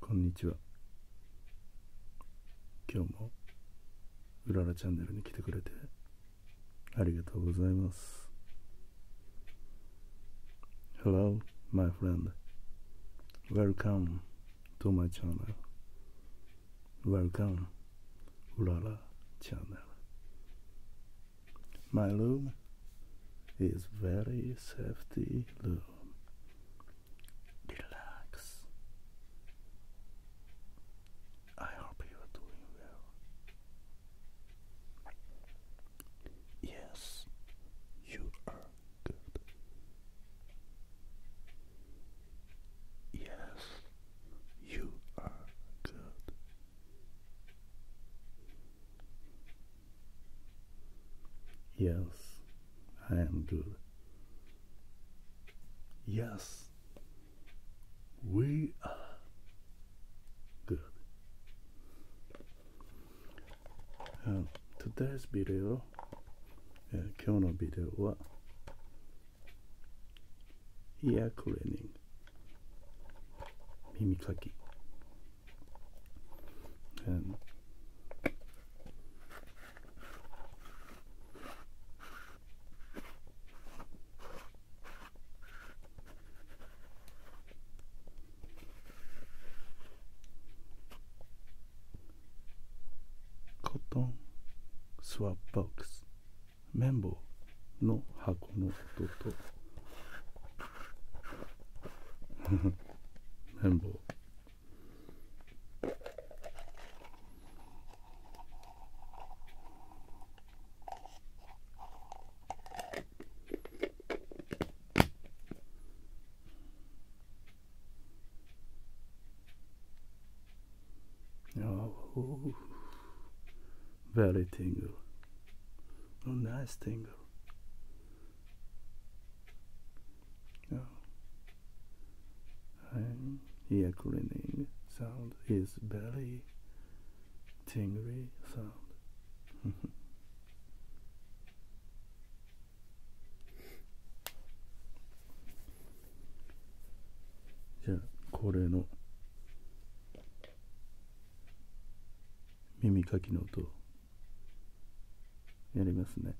こんにちは今日もうららチャンネルに来てくれてありがとうございます Hello my friend Welcome to my channel Welcome うらら channel My room is very safety room relax. I hope you are doing well. Yes, you are good. Yes, you are good. Yes, I am good. Yes, we are good. Uh, today's video, uh, 今日のビデオは、イヤークレーニング、耳かき And cotton swap box 綿棒の箱の音と Pinball. Oh, very tingle. Oh, nice tingle. An ear cleaning sound is very tingly sound. じゃあ恒例の耳かきの音を。やりますね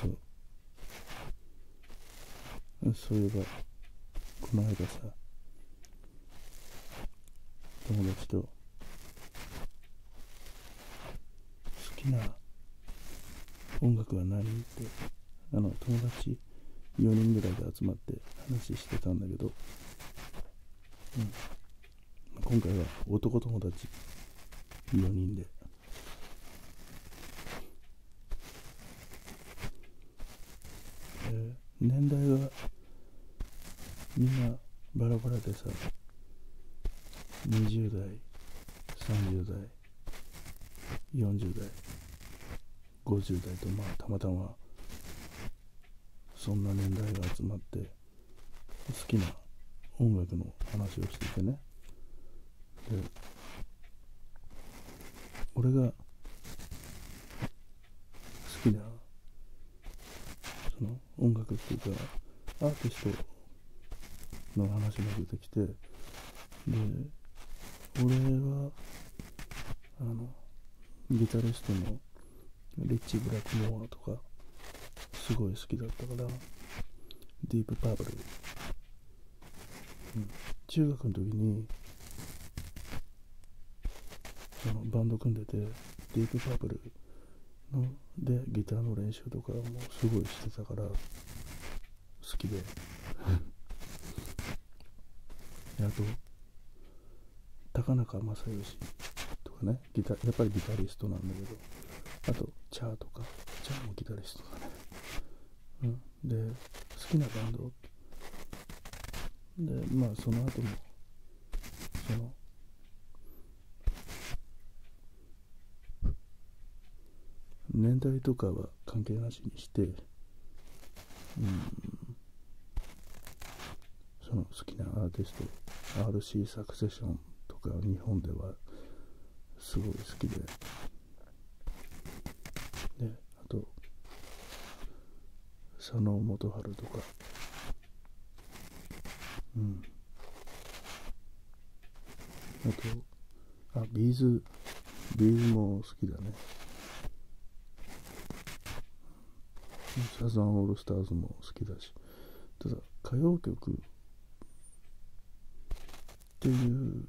そうそういえばこの間さ友達と好きな音楽は何ってあの友達4人ぐらいで集まって話してたんだけど、うん、今回は男友達4人で。えー、年代がみんなバラバラでさ20代30代40代50代とまあたまたまそんな年代が集まって好きな音楽の話をしててねで俺が好きなその音楽っていうかアーティストの話も出てきてで俺はあのギタリストのリッチ・ブラックモアとかすごい好きだったからディープ・パープル、うん、中学の時にあのバンド組んでてディープ・パープルのでギターの練習とかもすごいしてたから好きであと高中正義とかねギタやっぱりギタリストなんだけどあとチャーとかチャーもギタリストだね、うん、で好きなバンドでまあその後もその年代とかは関係なしにして、うん、その好きなアーティスト RC サクセションとか日本ではすごい好きでであと佐野元春とかうんあとあビーズビーズも好きだねサザンオールスターズも好きだしただ歌謡曲っていう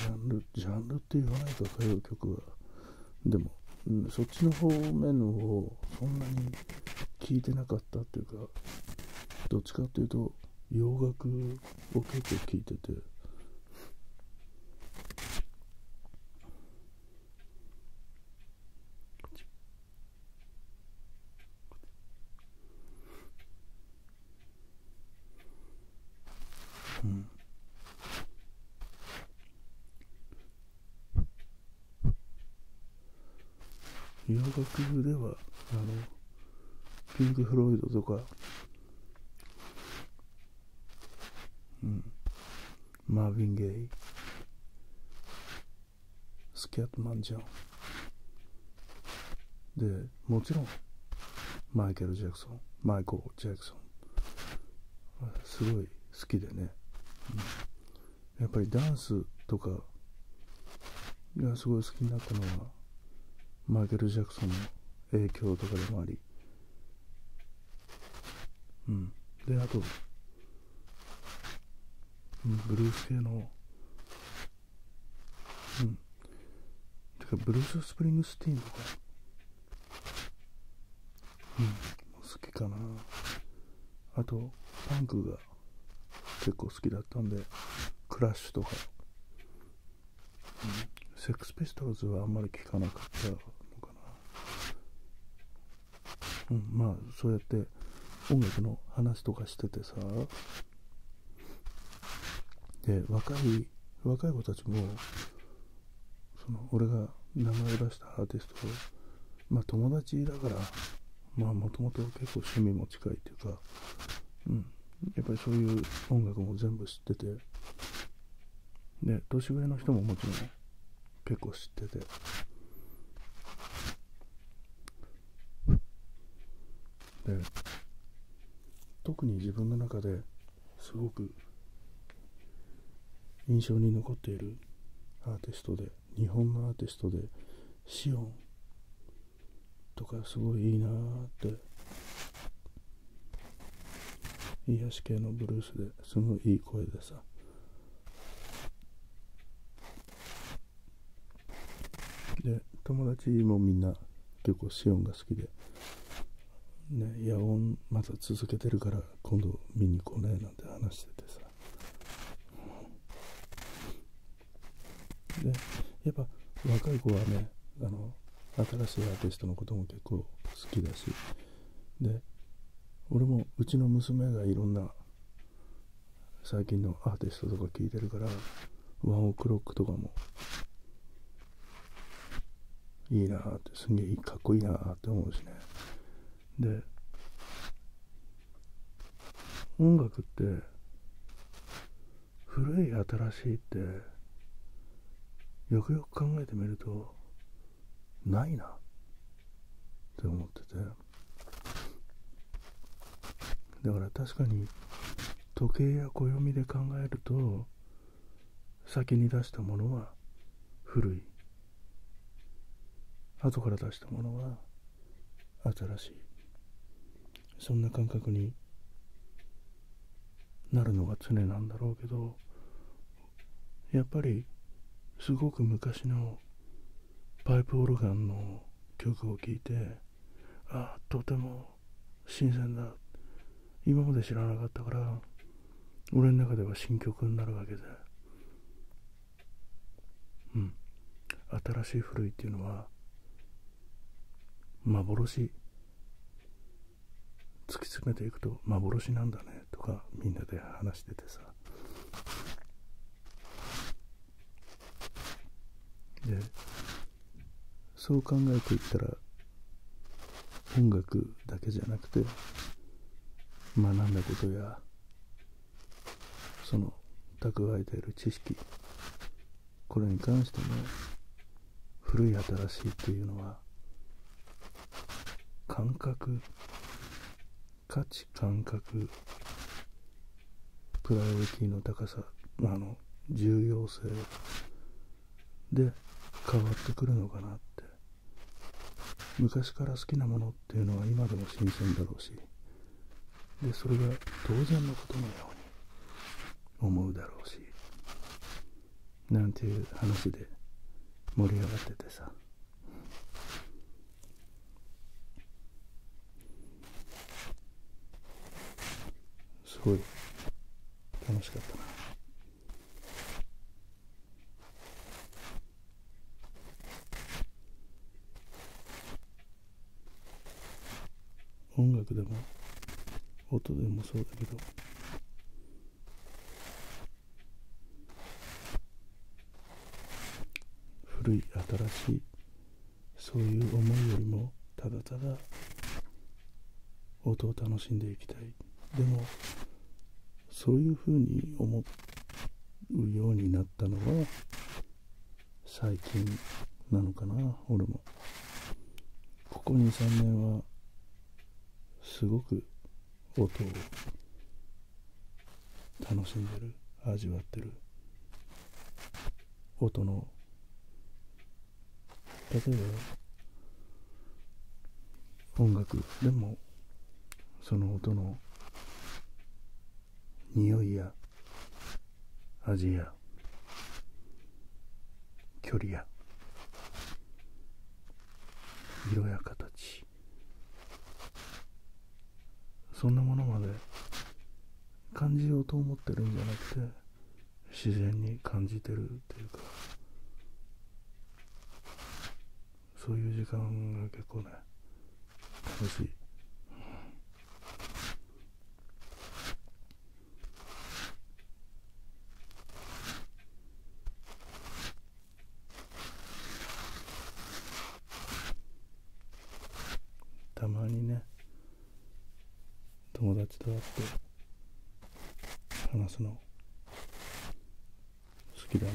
ジャンルジャンルって言わないか歌謡曲はでも、うん、そっちの方面の方そんなに聞いてなかったっていうかどっちかっていうと洋楽を結構聴いててうん洋楽ではあのピンク・フロイドとか、うん、マーヴィン・ゲイスキャット・マンジョンでもちろんマイケル・ジャクソンマイコー・ジャクソンすごい好きでね、うんやっぱりダンスとかがすごい好きになったのはマイケル・ジャクソンの影響とかでもありうんであと、うん、ブルース系のうんてかブルース・スプリングスティーンとかうん好きかなあとパンクが結構好きだったんでクラッシュとか、ん、セックスピストルズはあんまり聞かなかったのかな、うん、まあそうやって音楽の話とかしててさで若い若い子たちもその俺が名前を出したアーティストま友達だからまあもともと結構趣味も近いっていうか、うん、やっぱりそういう音楽も全部知っててで年上の人ももちろん結構知っててで特に自分の中ですごく印象に残っているアーティストで日本のアーティストでシオンとかすごいいいなって癒し系のブルースですごいいい声でさで友達もみんな結構シオンが好きで、ね、野音まだ続けてるから今度見に来ねえなんて話しててさでやっぱ若い子はねあの新しいアーティストのことも結構好きだしで俺もうちの娘がいろんな最近のアーティストとか聞いてるからワンオクロックとかもいいなあってすげえかっこいいなあって思うしねで音楽って古い新しいってよくよく考えてみるとないなって思っててだから確かに時計や暦で考えると先に出したものは古い後から出したものは新しいそんな感覚になるのが常なんだろうけどやっぱりすごく昔のパイプオルガンの曲を聴いてああとても新鮮だ今まで知らなかったから俺の中では新曲になるわけでうん新しい古いっていうのは幻突き詰めていくと幻なんだねとかみんなで話しててさでそう考えていったら音楽だけじゃなくて学んだことやその蓄えている知識これに関しても古い新しいというのは感覚価値感覚プライオリティの高さあの重要性で変わってくるのかなって昔から好きなものっていうのは今でも新鮮だろうしでそれが当然のことのように思うだろうしなんていう話で盛り上がっててさすごい楽しかったな。音楽でも音でもそうだけど古い新しいそういう思いよりもただただ音を楽しんでいきたいでもそういうふうに思うようになったのは最近なのかな俺もここ23年はすごく音を楽しんでる味わってる音の例えば音楽でもその音の匂いや味や距離や色や形そんなものまで感じようと思ってるんじゃなくて自然に感じてるっていうかそういう時間が結構ね楽しい。たまにね友達と会って話すの好きだね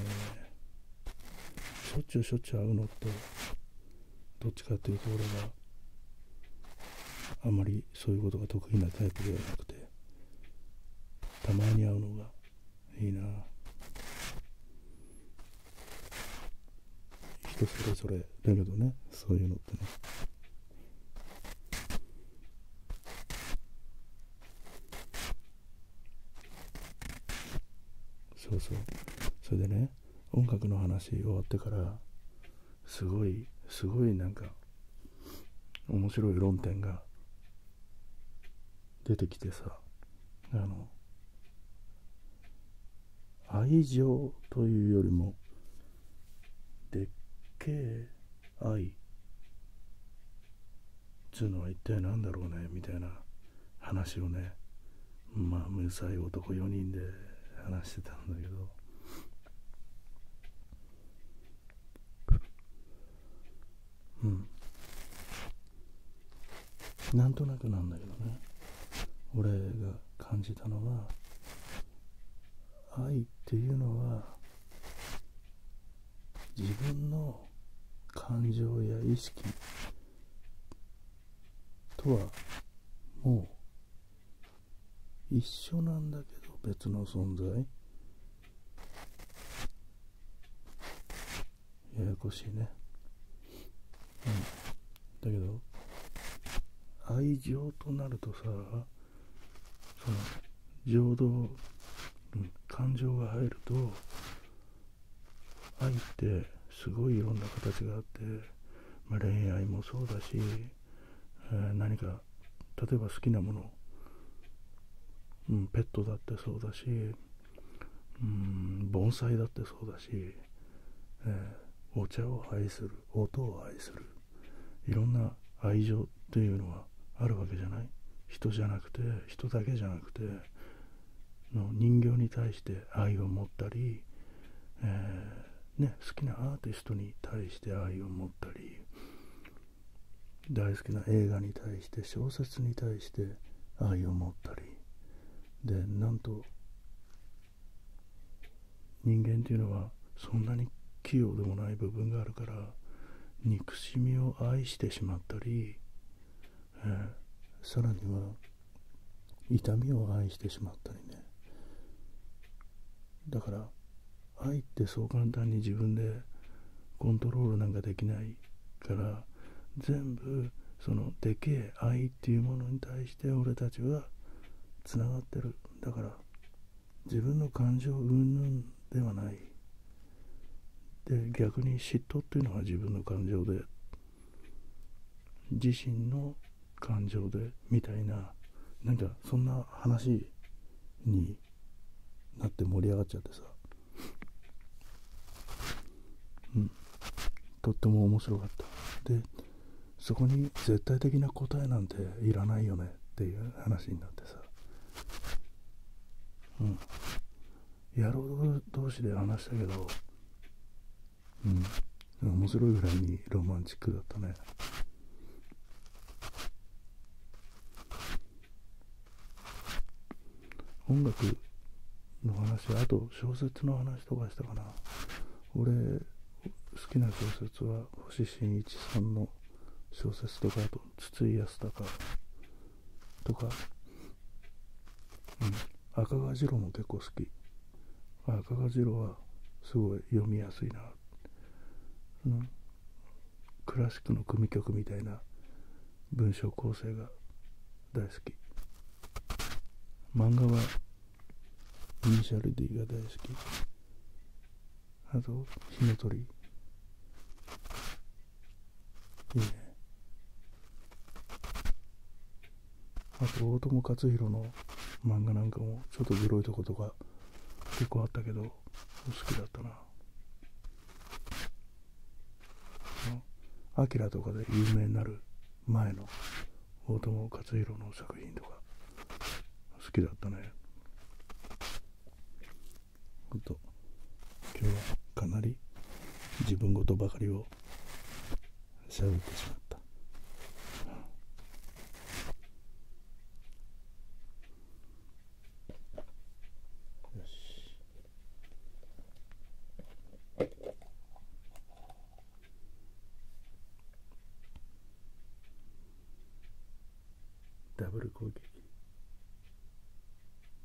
しょっちゅうしょっちゅう会うのってどっちかっていうと俺はあまりそういうことが得意なタイプではなくてたまに会うのがいいな人それぞれだけどねそういうのってねそうそうそれでね音楽の話終わってからすごいすごいなんか面白い論点が出てきてさあの愛情というよりもでっけえ愛つうのは一体何だろうねみたいな話をねまあうさい男4人で話してたんだけどうんなんとなくなんだけどね俺が感じたのは愛っていうのは自分の感情や意識とはもう一緒なんだけど別の存在ややこしいねうんだけど愛情となるとさその情動、うん、感情が入ると愛ってすごいいろんな形があって、まあ、恋愛もそうだしえ何か例えば好きなもの、うん、ペットだってそうだし、うん、盆栽だってそうだし、えお茶を愛する音を愛するいろんな愛情っていうのはあるわけじゃない人じゃなくて人だけじゃなくての人形に対して愛を持ったり、ね、好きなアーティストに対して愛を持ったり大好きな映画に対して小説に対して愛を持ったりでなんと人間っていうのはそんなに器用でもない部分があるから憎しみを愛してしまったり、えさらには痛みを愛してしまったりねだから愛ってそう簡単に自分でコントロールなんかできないから全部そのでけえ愛っていうものに対して俺たちはつながってるだから自分の感情云々ではないで逆に嫉妬っていうのは自分の感情で自身の感情でみたいななんかそんな話になって盛り上がっちゃってさうんとっても面白かったでそこに絶対的な答えなんていらないよねっていう話になってさうん野郎同士で話したけどうん面白いぐらいにロマンチックだったね音楽の話あと小説の話とかしたかな俺好きな小説は星新一さんの小説とかあと筒井康隆とか、うん、赤川次郎も結構好きあ赤字郎はすごい読みやすいな、うん、クラシックの組曲みたいな文章構成が大好き漫画はイニシャル D が大好きあと火のり。いいねあと大友克洋の漫画なんかもちょっとグロいとことか結構あったけど好きだったなあきらとかで有名になる前の大友克洋の作品とか好きだったねほと今日はかなり自分事ばかりを喋ってしまったよしダブル攻撃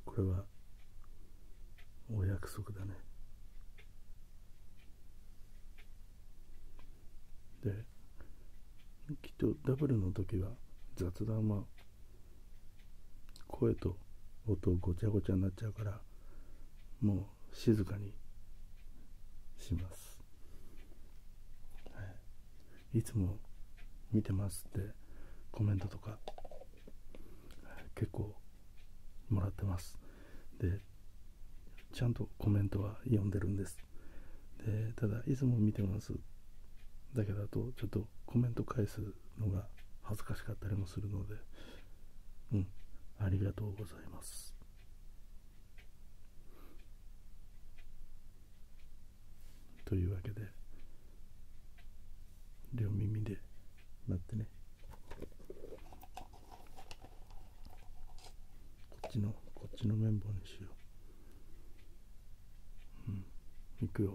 これはお約束だねできっとダブルの時は雑談は声と音ごちゃごちゃになっちゃうからもう静かにします、はい、いつも見てますってコメントとか結構もらってますでちゃんとコメントは読んでるんですでただいつも見てますだけだとちょっとコメント返すのが恥ずかしかったりもするのでうんありがとうございますというわけで両耳で待ってねこっちのこっちの綿棒にしよううん行くよ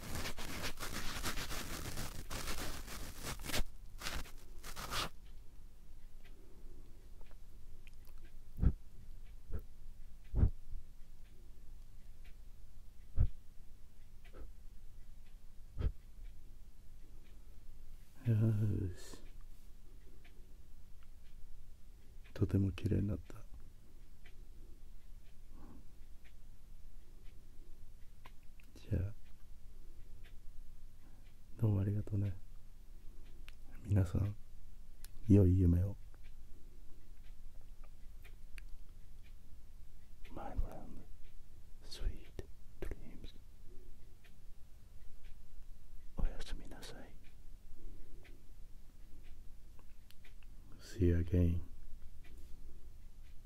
よしとても綺麗になった。じゃあどうもありがとうねなさん良い夢をおやすみなさい See you again.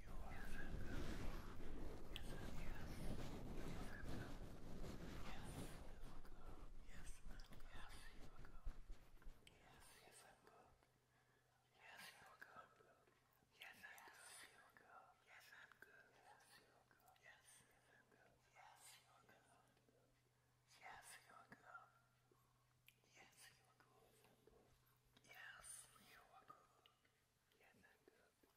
Yes, you are good. Yes, I'm good.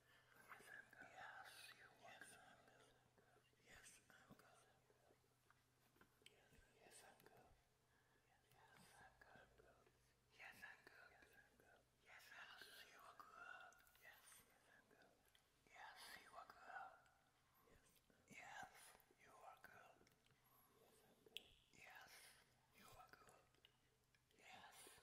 Yes, you yes, I'm good. Yes, I'm good. Yes, yes, I'm good. Yes, I'm good. Yes, I'm good. Yes, I'm good. Yes, you are good. Yes, yes, I'm good. Yes, you are good. Yes, you are good. Yes, you are good. Yes,